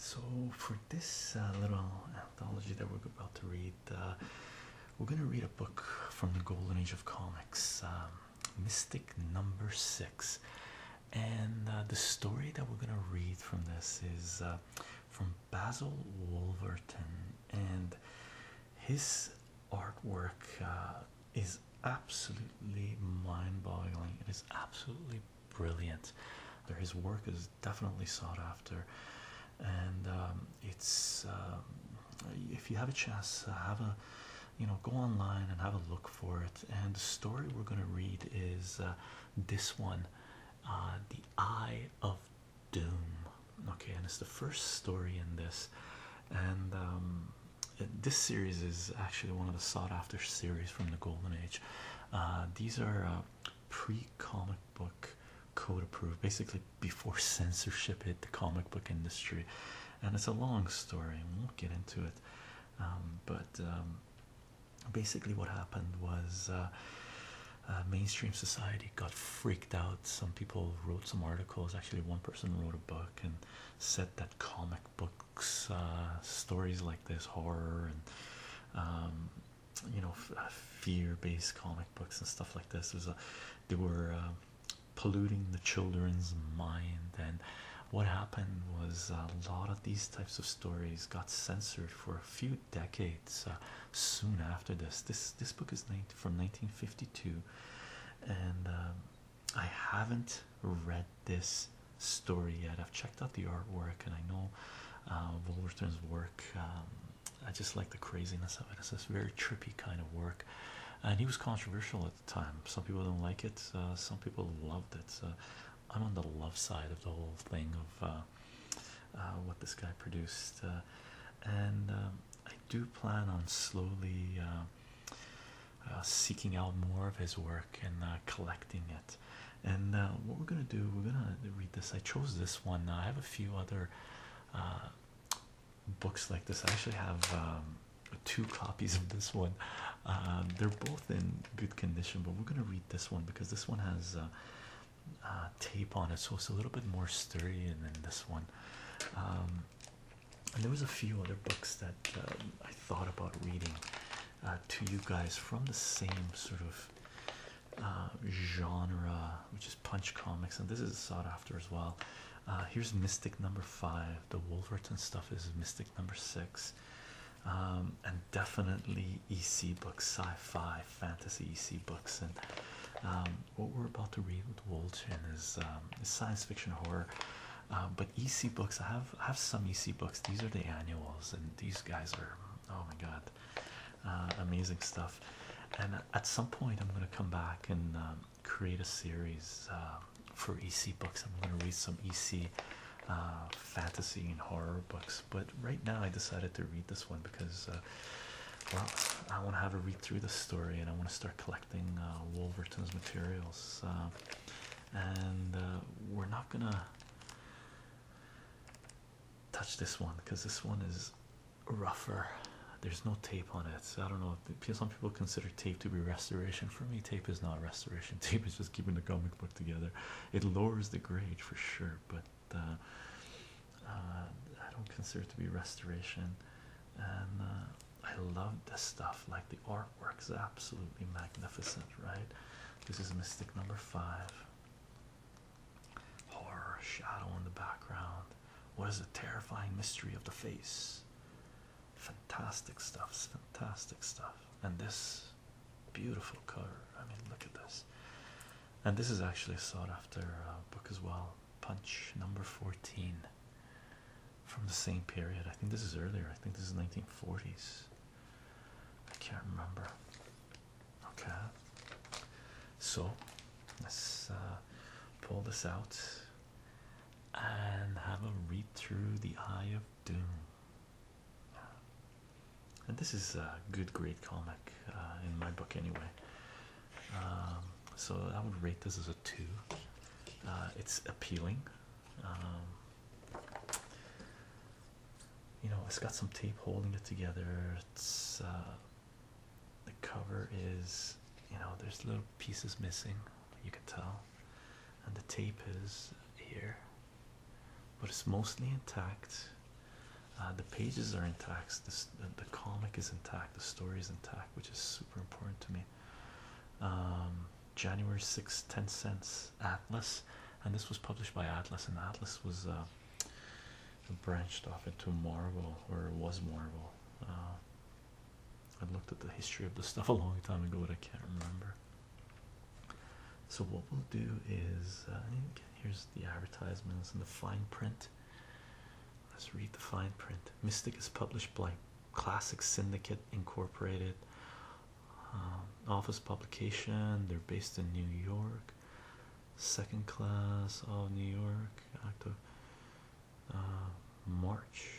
So, for this uh, little anthology that we're about to read, uh, we're going to read a book from the Golden Age of Comics, um, Mystic Number Six. And uh, the story that we're going to read from this is from Basil Wolverton and his artwork uh, is absolutely mind-boggling it is absolutely brilliant his work is definitely sought after and um, it's um, if you have a chance uh, have a you know go online and have a look for it and the story we're going to read is uh, this one the eye of Doom. Okay, and it's the first story in this, and um, this series is actually one of the sought-after series from the Golden Age. Uh, these are uh, pre-comic book code-approved, basically before censorship hit the comic book industry, and it's a long story. We won't get into it, um, but um, basically what happened was. Uh, uh, mainstream society got freaked out. Some people wrote some articles. Actually, one person wrote a book and said that comic books, uh, stories like this, horror and um, you know, uh, fear-based comic books and stuff like this, was a they were um, polluting the children's mind. And what happened was a lot of these types of stories got censored for a few decades uh, soon after this. This this book is 19, from 1952, and um, I haven't read this story yet. I've checked out the artwork, and I know uh, Wolverton's work. Um, I just like the craziness of it. It's this very trippy kind of work, and he was controversial at the time. Some people don't like it. Uh, some people loved it. I'm on the love side of the whole thing of uh, uh, uh, what this guy produced, uh, and um, I do plan on slowly seeking out more of his work and collecting it. And what we're gonna do, we're gonna read this. I chose this one. Uh, I have a few other books like this. I actually have. Um, two copies of this one they're both in good condition but we're going to read this one because this one has uh, tape on it, so it's a little bit more sturdy than this one. Um, and there was a few other books that um, I thought about reading uh, to you guys from the same sort of uh, genre, which is Punch Comics, and this is sought after as well. here's Mystic number five. The Wolverton stuff is Mystic number six, um, and definitely EC book sci-fi fantasy EC books and um, what we're about to read with Wolchin and his um, science fiction horror um, but EC books I have have some EC books these are the annuals and these guys are oh my god uh, amazing stuff and at some point I'm gonna come back and create a series for EC books I'm gonna read some EC uh, fantasy and horror books but right now I decided to read this one because, uh, well, I want to have a read through the story and I want to start collecting uh, Wolverton's materials. Uh, and we're not gonna touch this one because this one is rougher. There's no tape on it. So I don't know. If some people consider tape to be restoration. For me, tape is not restoration. Tape is just keeping the comic book together. It lowers the grade for sure, but uh, I don't consider it to be restoration, and uh, I love this stuff. Like the artwork is absolutely magnificent, right? This is Mystic number five. Horror shadow in the background. What is the terrifying mystery of the face? Fantastic stuff, fantastic stuff, and this beautiful color. I mean, look at this and this is actually a sought after uh, book as well. Punch number 14 from the same period. I think this is earlier, I think this is 1940s. I can't remember. Okay, so let's uh, pull this out and have a read through the Eye of Doom and this is a good grade comic uh, in my book anyway um, so I would rate this as a two uh, it's appealing um, you know it's got some tape holding it together it's uh, the cover is you know there's little pieces missing you can tell and the tape is here but it's mostly intact uh, the pages are intact. the, comic is intact. The story is intact, which is super important to me. Um, January 6, 10 cents Atlas, and this was published by Atlas, and Atlas was uh, branched off into Marvel, or was Marvel. Uh, I looked at the history of the stuff a long time ago, but I can't remember. So what we'll do is, Here's the advertisements and the fine print. Let's read the fine print. Mystic is published by Classic Syndicate Incorporated, um, office publication. They're based in New York. Second class of New York, October, uh, March.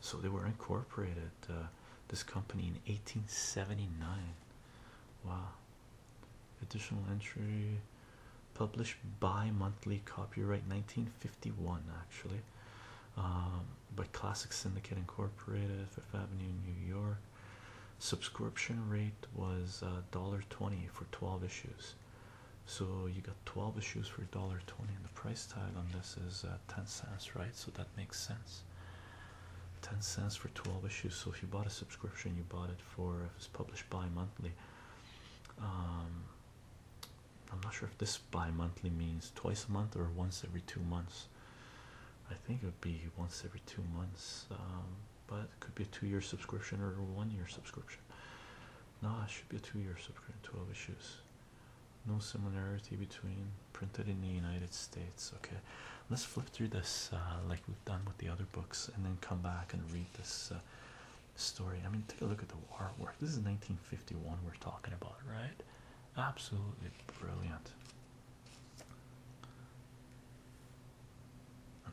So they were incorporated, uh, this company in 1879. Wow, Additional entry published bi monthly, copyright 1951, actually, um, by Classic Syndicate Incorporated, Fifth Avenue, New York. Subscription rate was uh, $1.20 for 12 issues. So you got 12 issues for $1.20, and the price tag on this is uh, 10 cents, right? So that makes sense. 10 cents for 12 issues. So if you bought a subscription, you bought it for it was published bi-monthly um, I'm not sure if this bi-monthly means twice a month or once every two months I think it would be once every two months um, but it could be a two-year subscription or a one-year subscription no it should be a two-year subscription 12 issues no similarity between printed in the United States okay let's flip through this uh, like we've done with the other books and then come back and read this uh, story i mean take a look at the artwork this is 1951 we're talking about right absolutely brilliant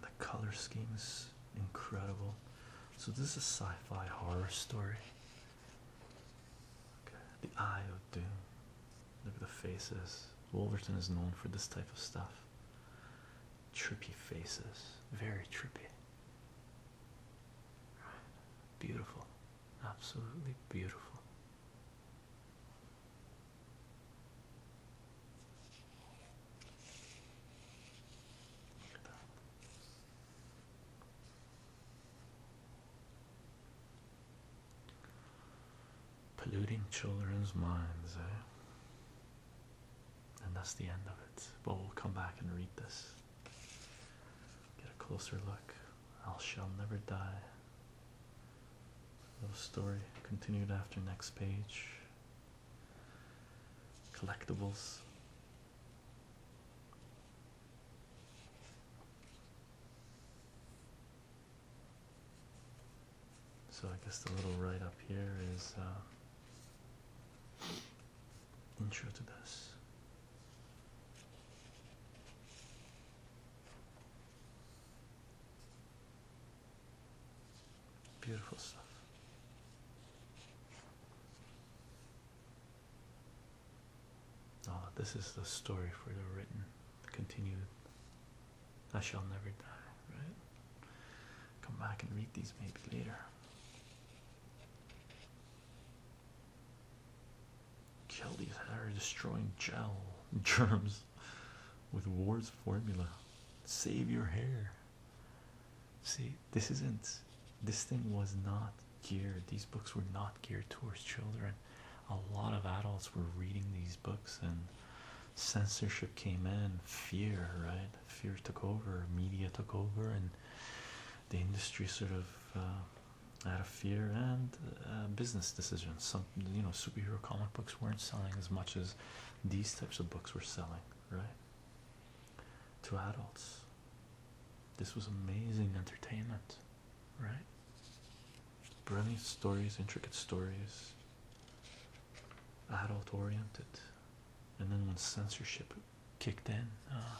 the color scheme is incredible so this is a sci-fi horror story okay. the eye of doom look at the faces wolverton is known for this type of stuff Trippy faces, very trippy. Beautiful, absolutely beautiful polluting children's minds, eh? And that's the end of it. But we'll come back and read this. Get a closer look. I shall never die. Little story continued after next page. Collectibles. So I guess the little write up here is uh, intro to this. Beautiful stuff. Oh, this is the story for the written, continued I shall never die, right? Come back and read these maybe later. Kill these hair destroying gel germs with Ward's formula. Save your hair. See, this isn't, this thing was not geared, these books were not geared towards children. A lot of adults were reading these books and censorship came in, fear, right? Fear took over, media took over, and the industry sort of out uh, of fear and uh, business decisions. Some, you know, superhero comic books weren't selling as much as these types of books were selling, right? To adults, this was amazing entertainment, right? Brilliant stories, intricate stories, adult oriented. And then when censorship kicked in, uh,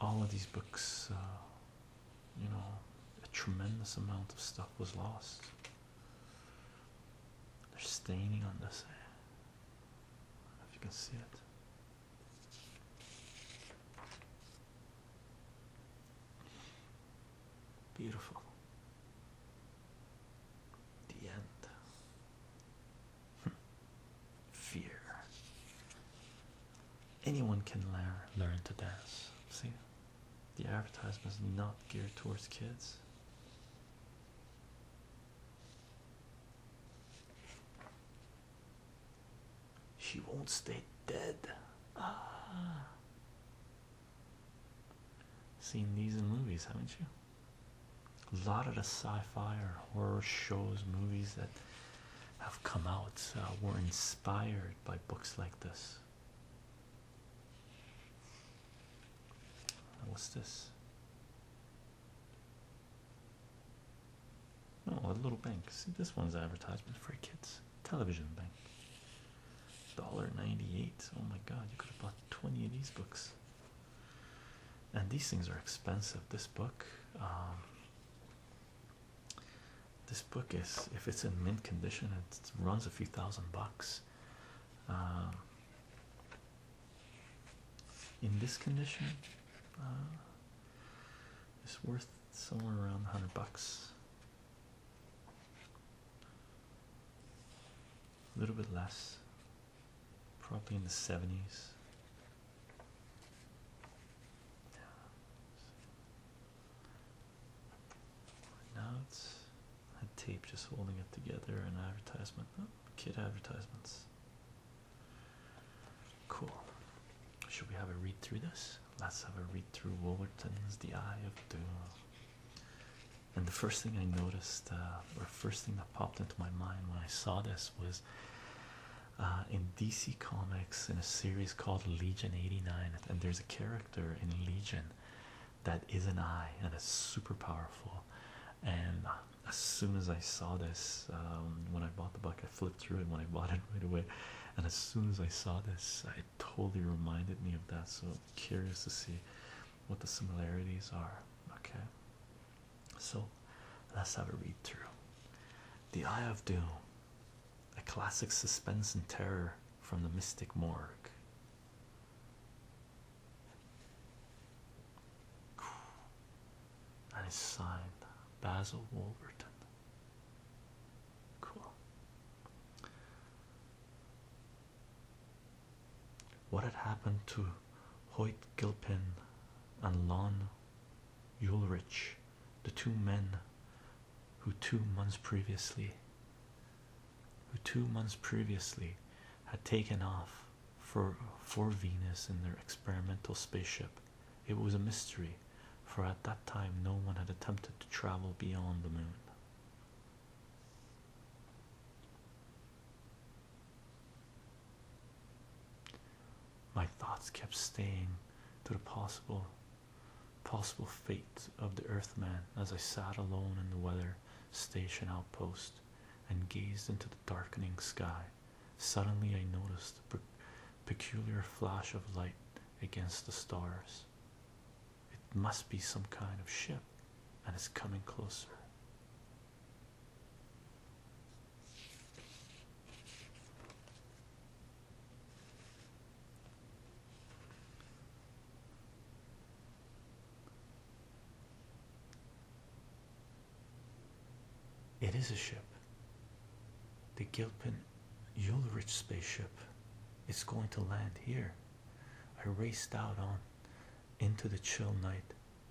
all of these books, uh, you know, a tremendous amount of stuff was lost. They're staining on this. Eh? if you can see it. Beautiful. The end. Hmm. Fear. Anyone can learn learn to dance. See, the advertisement is not geared towards kids. She won't stay dead. Ah. Seen these in movies, haven't you? A lot of the sci-fi or horror shows, movies that have come out uh, were inspired by books like this. What's this? Oh, a little bank. See, this one's advertisement for kids television bank. $1.98. Oh my god, you could have bought 20 of these books. And these things are expensive. This book, um, this book is, if it's in mint condition, it runs a few thousand bucks. Um, in this condition, uh, it's worth somewhere around 100 bucks a little bit less, probably in the 70s. Now it's a tape just holding it together, an advertisement, oh, kid advertisements. Cool. Should we have a read through this? Let's have a read through Wolverton's The Eye of Doom. And the first thing I noticed, uh, or first thing that popped into my mind when I saw this was uh, in DC Comics in a series called Legion 89. And there's a character in Legion that is an eye and is super powerful. And uh, as soon as I saw this, um, when I bought the book, I flipped through it when I bought it right away. And as soon as I saw this, I totally reminded me of that. So curious to see what the similarities are. Okay. So let's have a read through. The Eye of Doom, a classic suspense and terror from the Mystic Morgue. And it's signed Basil Wolverton. What had happened to Hoyt Gilpin and Lon Ulrich, the two men who two months previously who two months previously had taken off for for Venus in their experimental spaceship? It was a mystery, for at that time no one had attempted to travel beyond the moon. My thoughts kept staying to the possible possible fate of the earthman as I sat alone in the weather station outpost and gazed into the darkening sky. Suddenly I noticed a peculiar flash of light against the stars. It must be some kind of ship, and it's coming closer. It is a ship. The Gilpin Yulrich spaceship. is going to land here. I raced out on into the chill night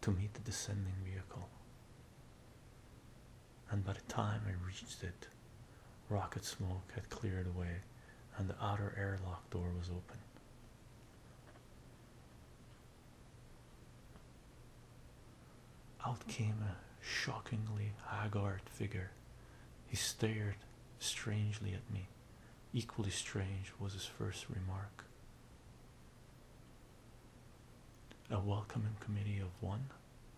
to meet the descending vehicle. And by the time I reached it, rocket smoke had cleared away and the outer airlock door was open. Out came a shockingly haggard figure he stared strangely at me. Equally strange was his first remark. A welcoming committee of one?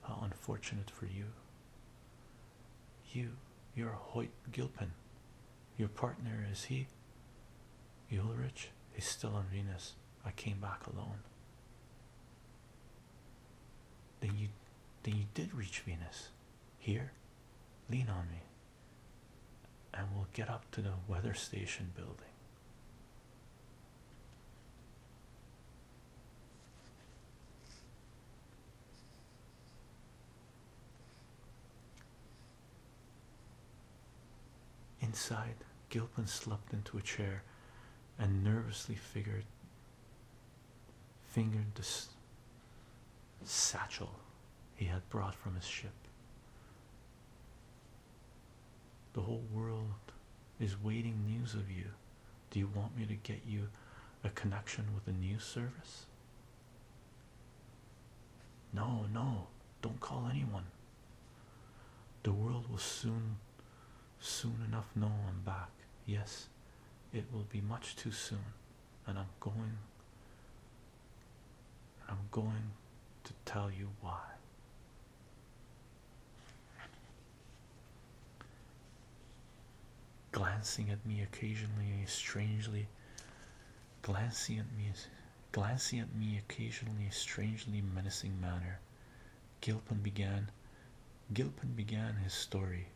How unfortunate for you. You, your are Hoyt Gilpin. Your partner, is he? Ulrich? He's still on Venus. I came back alone. Then you, then you did reach Venus. Here, lean on me, and we'll get up to the weather station building. Inside, Gilpin slumped into a chair and nervously figured fingered the satchel he had brought from his ship. The whole world is waiting news of you. Do you want me to get you a connection with a news service? No, no, don't call anyone. The world will soon, soon enough know I'm back. Yes, it will be much too soon and i'm going And i'm going to tell you why glancing at me occasionally strangely glancing at me glancing at me occasionally strangely menacing manner gilpin began gilpin began his story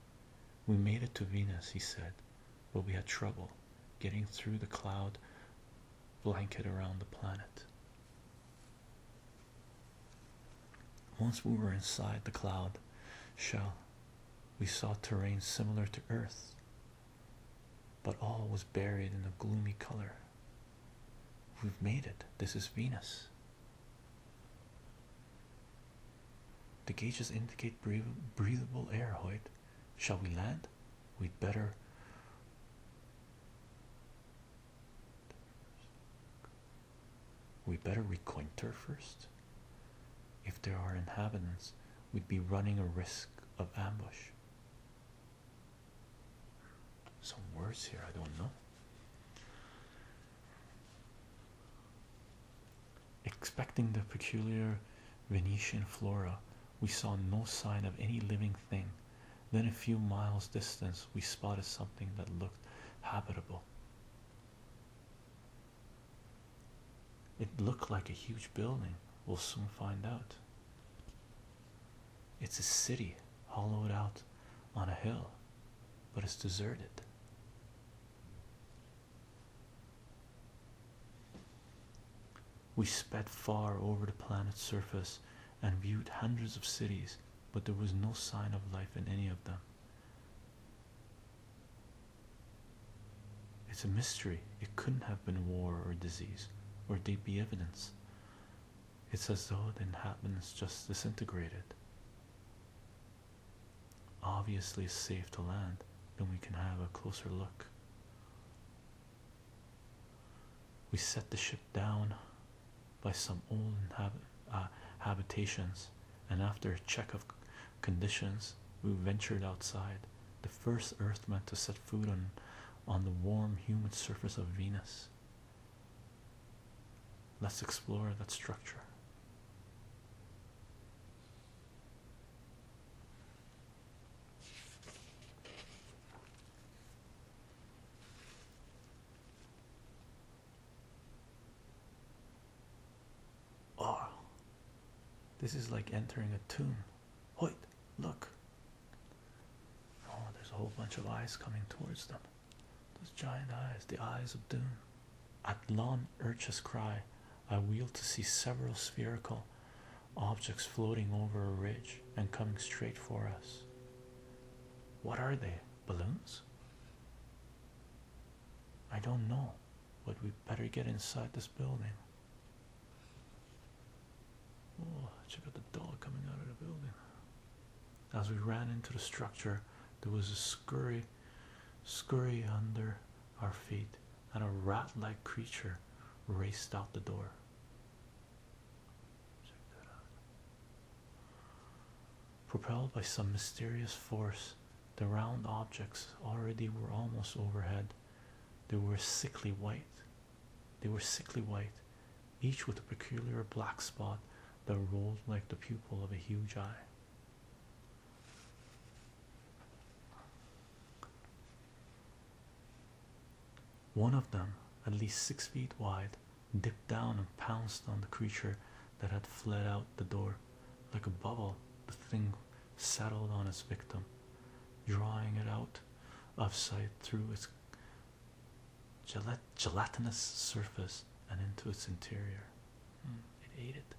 we made it to Venus, he said, but we had trouble getting through the cloud blanket around the planet. Once we were inside the cloud shell, we saw terrain similar to Earth, but all was buried in a gloomy color. We've made it. This is Venus, the gauges indicate breathable air, Hoyt. Shall we land? We'd better. We better reconnoiter first. If there are inhabitants, we'd be running a risk of ambush. Some words here I don't know. Expecting the peculiar Venetian flora, we saw no sign of any living thing. Then, a few miles distance, we spotted something that looked habitable. It looked like a huge building. We'll soon find out. It's a city hollowed out on a hill, but it's deserted. We sped far over the planet's surface and viewed hundreds of cities, but there was no sign of life in any of them. It's a mystery. It couldn't have been war or disease, or there'd be evidence. It's as though the inhabitants just disintegrated obviously safe to land, then we can have a closer look. We set the ship down by some old uh, habitations, and after a check of conditions, we ventured outside. The first Earthman to set foot on, on the warm, humid surface of Venus. Let's explore that structure. Oh, this is like entering a tomb. Wait, look. Oh, there's a whole bunch of eyes coming towards them. Those giant eyes, the eyes of doom. At Atlan Urch's cry. I wheel to see several spherical objects floating over a ridge and coming straight for us. What are they? Balloons? I don't know, but we better get inside this building. Oh, check out the dog coming out of the building. As we ran into the structure, there was a scurry scurry under our feet, and a rat like creature raced out the door. Propelled by some mysterious force, the round objects already were almost overhead. They were sickly white. They were sickly white, each with a peculiar black spot that rolled like the pupil of a huge eye. One of them, at least six feet wide, dipped down and pounced on the creature that had fled out the door. Like a bubble, the thing settled on its victim, drawing it out of sight through its gelatinous surface and into its interior. Mm. It ate it.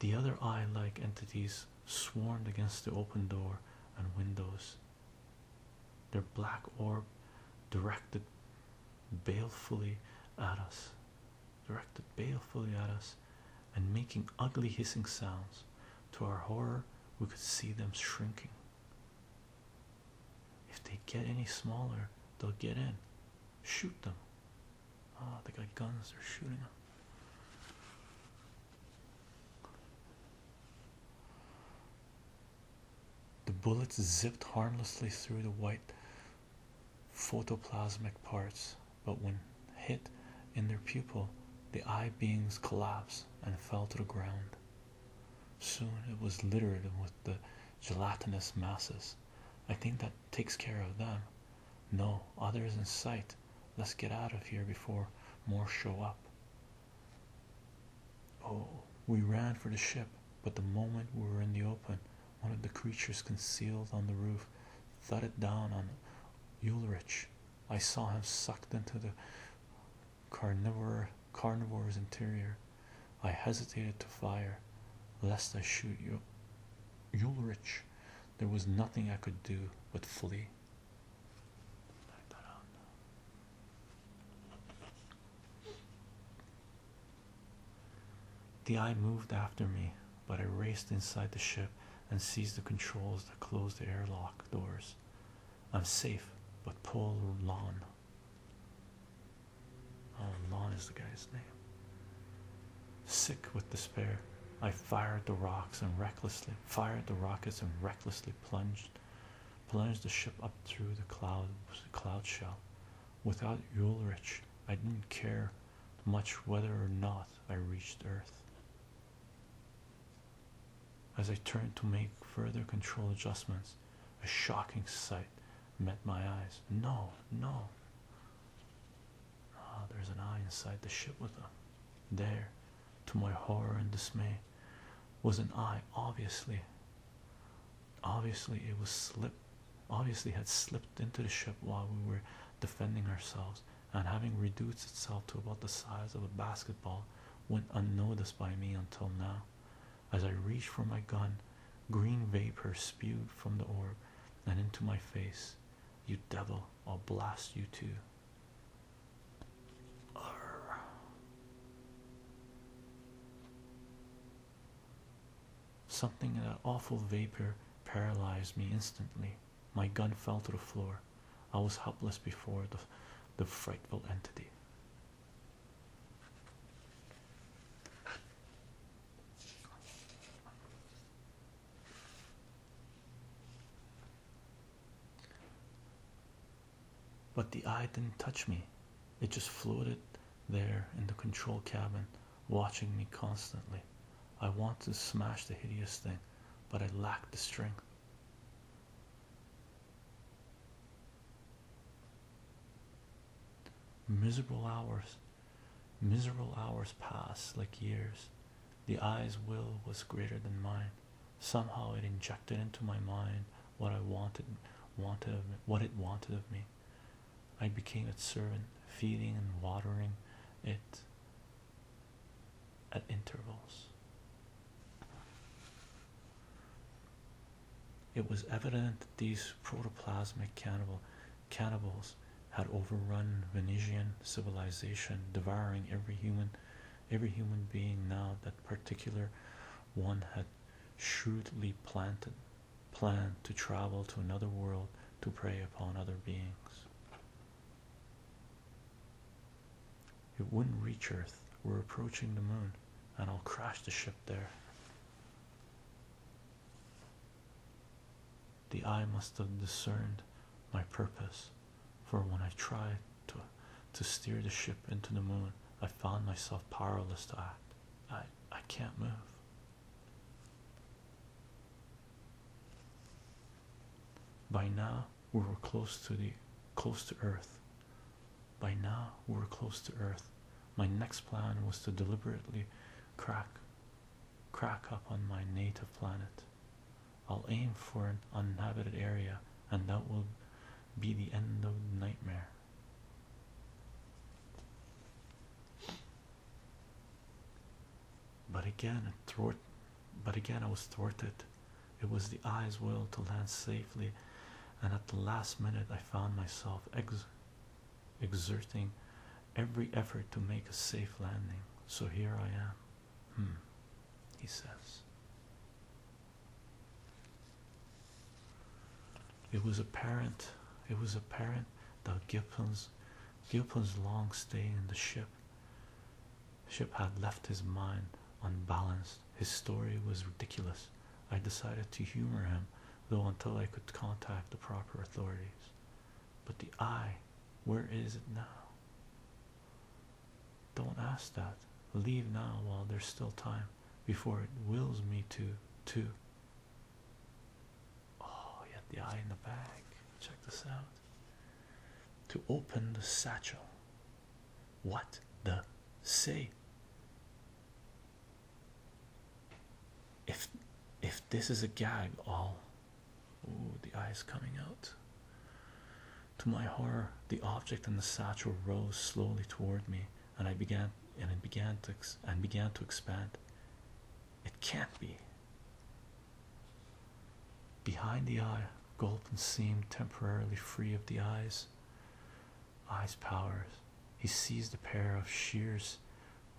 The other eye like entities swarmed against the open door and windows. Their black orb directed balefully at us, directed balefully at us, and making ugly hissing sounds. To our horror, we could see them shrinking if they get any smaller, they'll get in. Shoot them. Oh, they got guns, they're shooting them. The bullets zipped harmlessly through the white photoplasmic parts, but when hit in their pupil, the eye beings collapsed and fell to the ground. Soon it was littered with the gelatinous masses. I think that takes care of them. No, others in sight. Let's get out of here before more show up. Oh, we ran for the ship, but the moment we were in the open, one of the creatures concealed on the roof thudded down on Ulrich. I saw him sucked into the carnivore carnivore's interior. I hesitated to fire, lest I shoot you. Ulrich, there was nothing I could do but flee. The eye moved after me, but I raced inside the ship and seized the controls that closed the airlock doors. I'm safe, but Paul Lon. Oh, Lon is the guy's name. Sick with despair, I fired the rocks and recklessly fired the rockets and recklessly plunged, plunged the ship up through the clouds, cloud cloud shell. Without Ulrich, I didn't care much whether or not I reached Earth. As I turned to make further control adjustments, a shocking sight met my eyes. No, no. Ah, there's an eye inside the ship with them. There, to my horror and dismay, was an eye obviously. Obviously, it was slip. Obviously, had slipped into the ship while we were defending ourselves, and having reduced itself to about the size of a basketball, went unnoticed by me until now. As I reached for my gun, green vapor spewed from the orb and into my face. You devil, I'll blast you too. Something in that awful vapor paralyzed me instantly. My gun fell to the floor. I was helpless before the, the frightful entity. But the eye didn't touch me, it just floated there in the control cabin, watching me constantly. I wanted to smash the hideous thing, but I lacked the strength. Miserable hours, miserable hours pass like years. The eye's will was greater than mine. Somehow it injected into my mind what I wanted, wanted what it wanted of me. I became its servant, feeding and watering it at intervals. It was evident that these protoplasmic cannibals had overrun Venetian civilization, devouring every human every human being now that particular one had shrewdly planted planned to travel to another world to prey upon other beings. It wouldn't reach Earth. We're approaching the moon, and I'll crash the ship there. The eye must have discerned my purpose, for when I tried to, steer the ship into the moon, I found myself powerless to act. I, I can't move. By now we were close to the close to earth. By now we were close to earth. My next plan was to deliberately crack crack up on my native planet. I'll aim for an uninhabited area and that will be the end of the nightmare. But again, but again, I was thwarted. It was the eye's will to land safely, and at the last minute, I found myself ex exerting every effort to make a safe landing. So here I am. Hmm, he says. It was apparent. It was apparent that Gilpin's, Gilpin's long stay in the ship Ship had left his mind unbalanced. His story was ridiculous. I decided to humor him, though, until I could contact the proper authorities. But the eye, where is it now? Don't ask that. Leave now while there's still time before it wills me to, to. Oh, he had the eye in the back. Check this out to open the satchel. What the say? If if this is a gag, all oh, the eyes coming out. To my horror, the object in the satchel rose slowly toward me, and I began and it began to and began to expand. It can't be. Behind the eye, Gilpin seemed temporarily free of the eyes. Eyes powers. He seized a pair of shears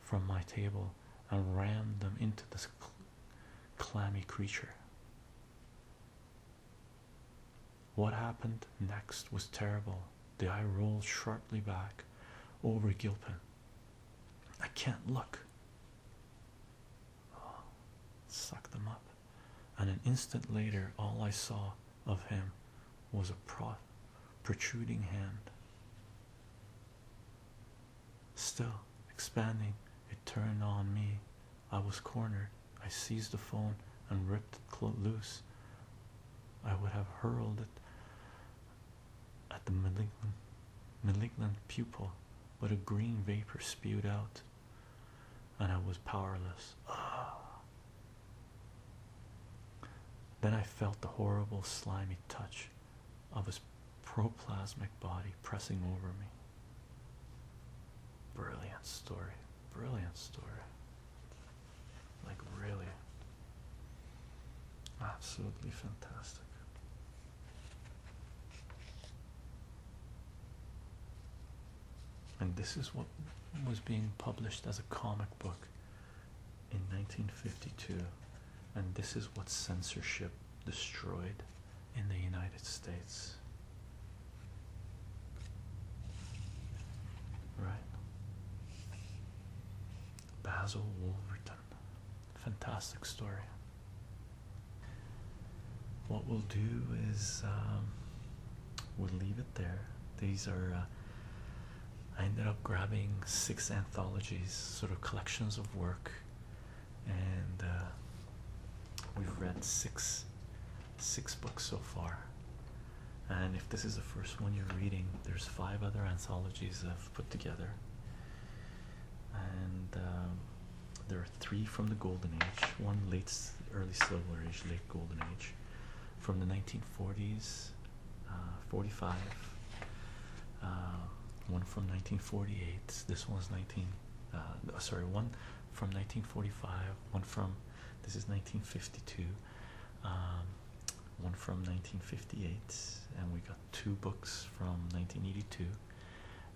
from my table and rammed them into this clammy creature. What happened next was terrible. The eye rolled sharply back over Gilpin. I can't look. Oh, suck them up and an instant later all I saw of him was a protruding hand. Still expanding, it turned on me. I was cornered. I seized the phone and ripped it loose. I would have hurled it at the malignant pupil, but a green vapor spewed out and I was powerless. Ah. Then I felt the horrible slimy touch of his proplasmic body pressing over me. Brilliant story, brilliant story. Like, really, absolutely fantastic. And this is what was being published as a comic book in 1952, and this is what censorship destroyed in the United States. Right? Basil Wolverton. Fantastic story. What we'll do is um, we'll leave it there. These are, uh, I ended up grabbing six anthologies, sort of collections of work, and uh, we've read six, six books so far. And if this is the first one you're reading, there's five other anthologies I've put together and um, there are three from the Golden Age, one late, early Silver Age, late Golden Age, from the 1940s, uh, 45, uh, one from 1948. This one's 19. Uh, sorry, one from 1945. One from this is 1952. Um, one from 1958, and we got two books from 1982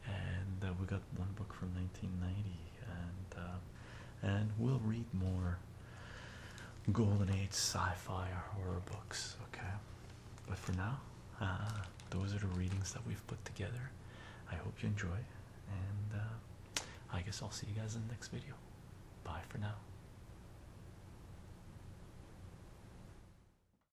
and uh, we got one book from 1990 and uh, and we'll read more golden age sci-fi or horror books okay but for now uh, those are the readings that we've put together i hope you enjoy and i guess i'll see you guys in the next video bye for now